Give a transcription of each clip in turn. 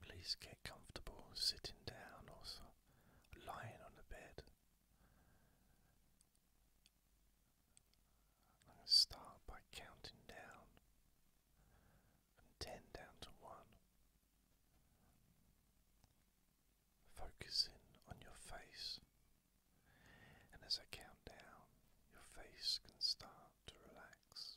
Please get comfortable sitting down or lying on the bed. I'm going to start by counting down from 10 down to 1. Focusing on your face, and as I count down, your face can start to relax.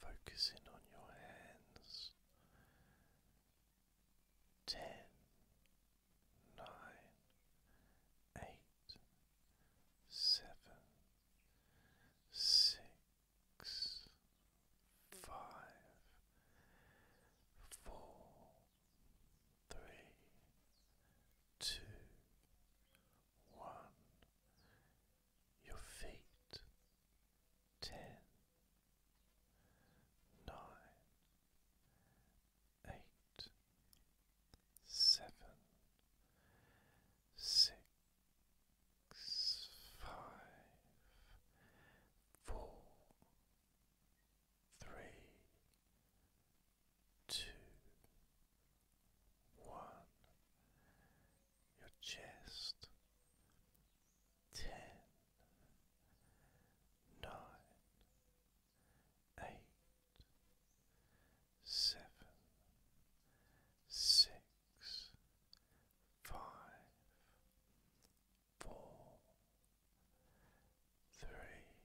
focusing on your hands. Ten, nine, eight, seven, six, five, four, three, two, one your feet ten, nine, eight, seven, six, five, four, three, two, one your chest. Ten, nine, eight, seven, six, five, four, three,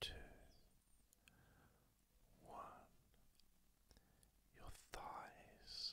two, one. Your thighs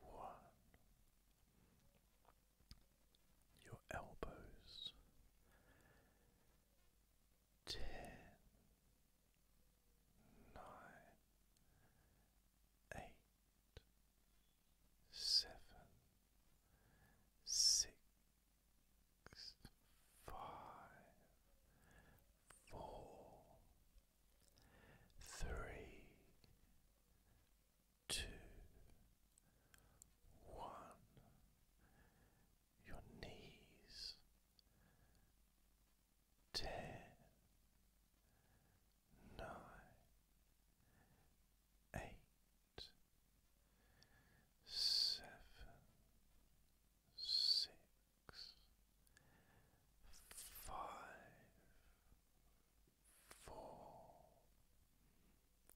one. Your elbows ten, nine, eight, seven, six, five, four, three, two, one. Your knees ten, nine, eight, seven, six, five, four,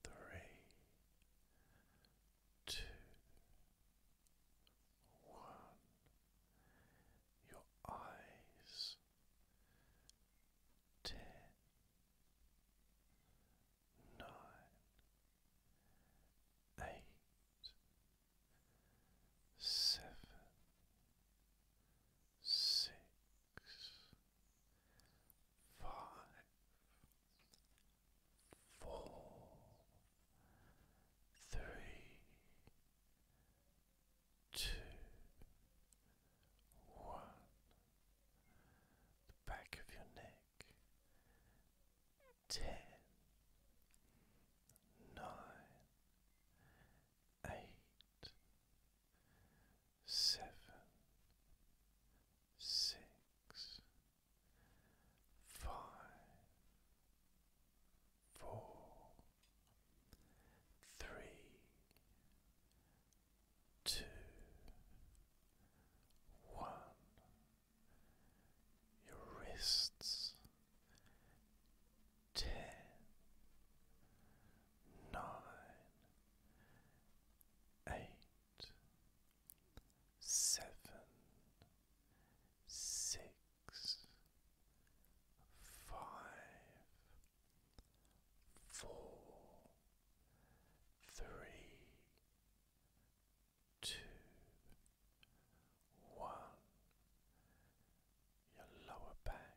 three, two, one. Your eyes ten, nine, eight, seven, six five, four, three, two, one. The back of your neck, ten, nine, eight seven, six, five, four, three, two, one. Your wrists, ten, nine, eight, seven, six, five, four, three, two, one. Your lower back,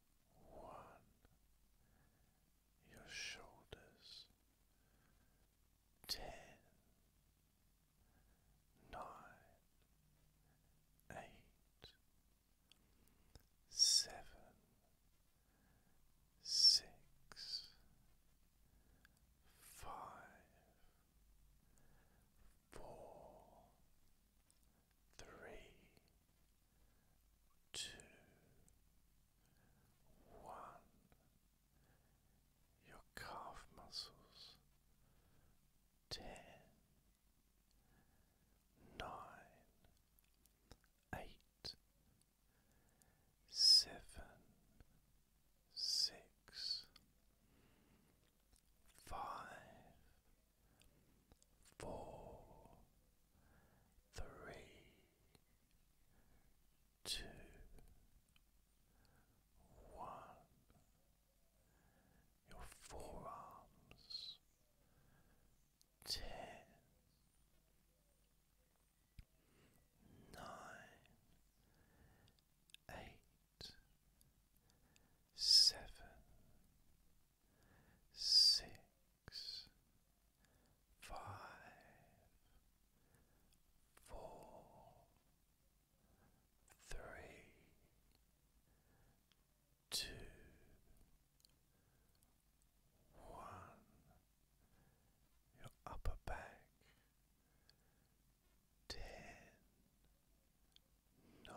one, your shoulders. Ten, nine, eight, seven, six, five, four three, two, one. Your calf muscles ten, nine, eight, seven, six, five, four, three, two, one. Your forearms, ten, nine, eight, seven, six, five, four, three, two, one. Your upper back. Ten, nine,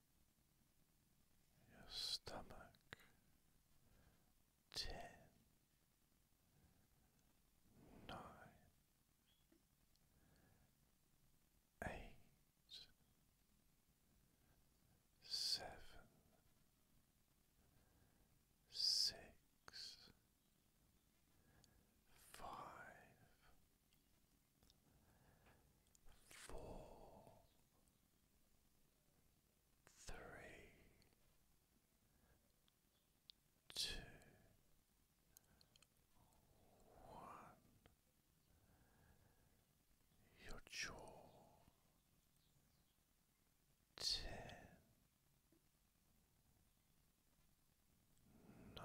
your stomach ten, nine, eight, seven, six, five, four three, two, one. Your jaw ten, nine,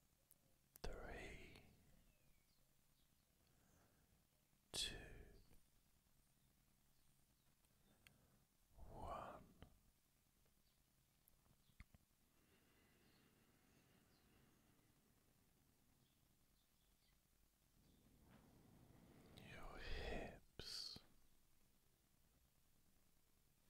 three, two, one. Your hips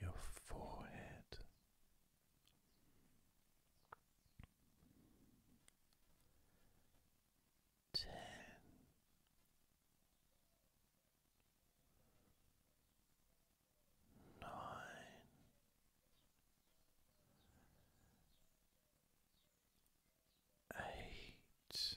your forehead, ten. Nine, eight,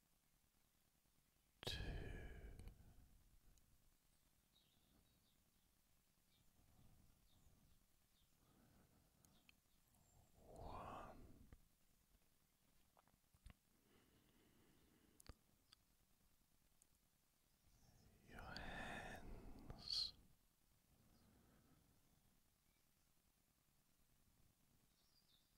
two, one. Your hands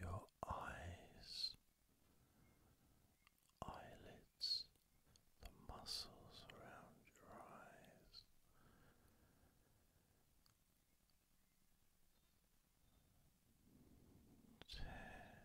Your eyes, eyelids, the muscles around your eyes. Ten.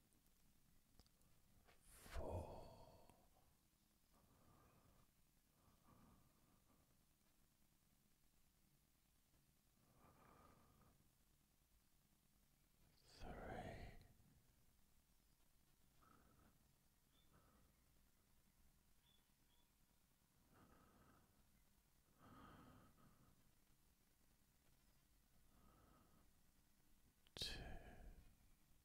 four. Three, two,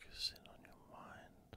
Focusing on your mind.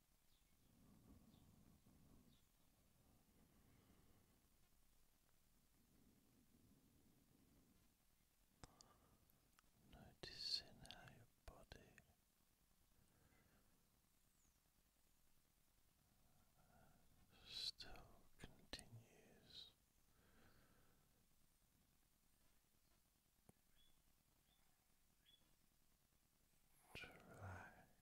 Noticing how your body still continues to relax.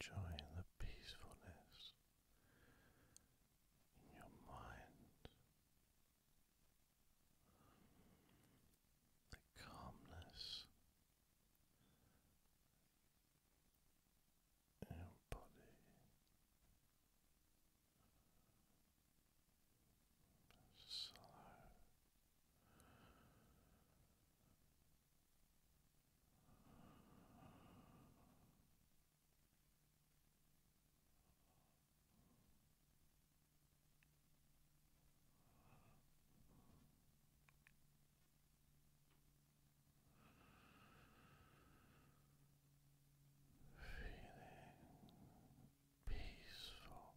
Enjoy the peacefulness in your mind the calmness in your body. So Relax. Feeling peaceful.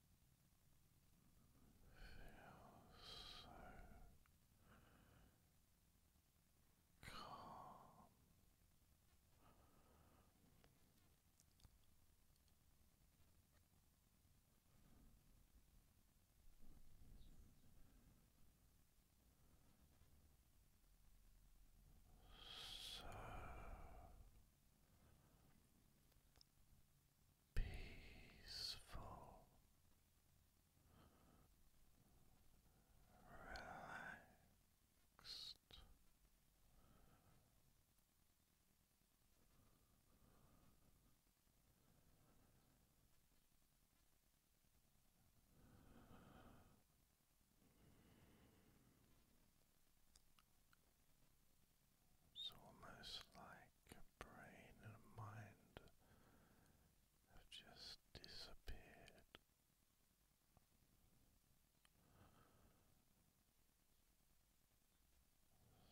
so calm. So peaceful, relaxed. It's almost like a brain and a mind have just disappeared.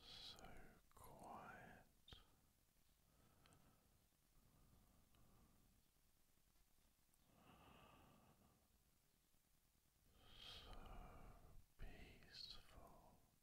So quiet. So peaceful.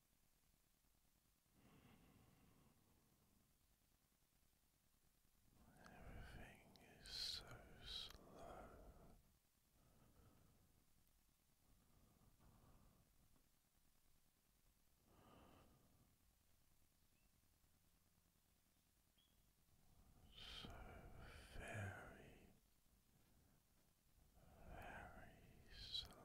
Everything is so slow. So very, very slow.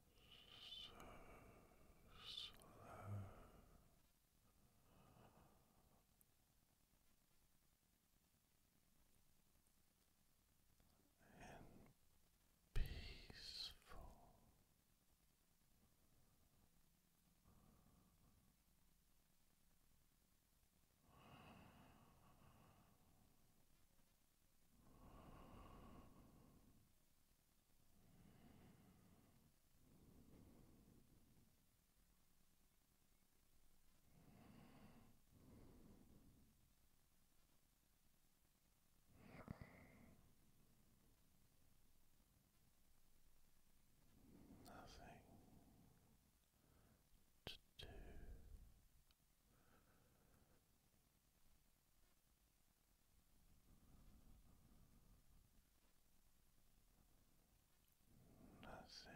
so slow. And peaceful, Nothing to do Nothing to say.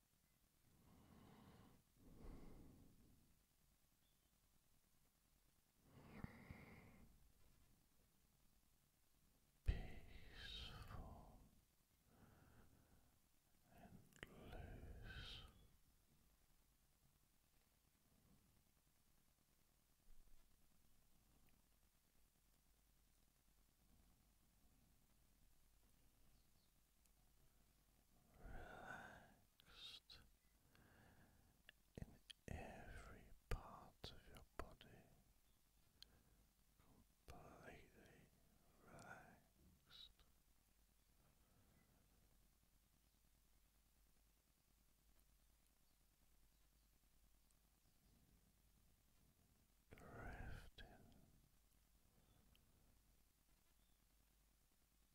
Peaceful and loose relaxed in every part of your body, completely relaxed. Drifting drifting relaxed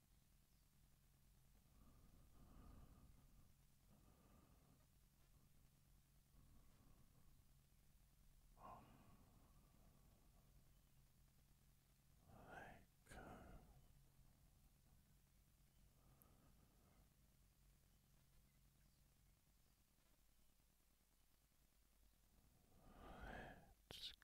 let go. Let's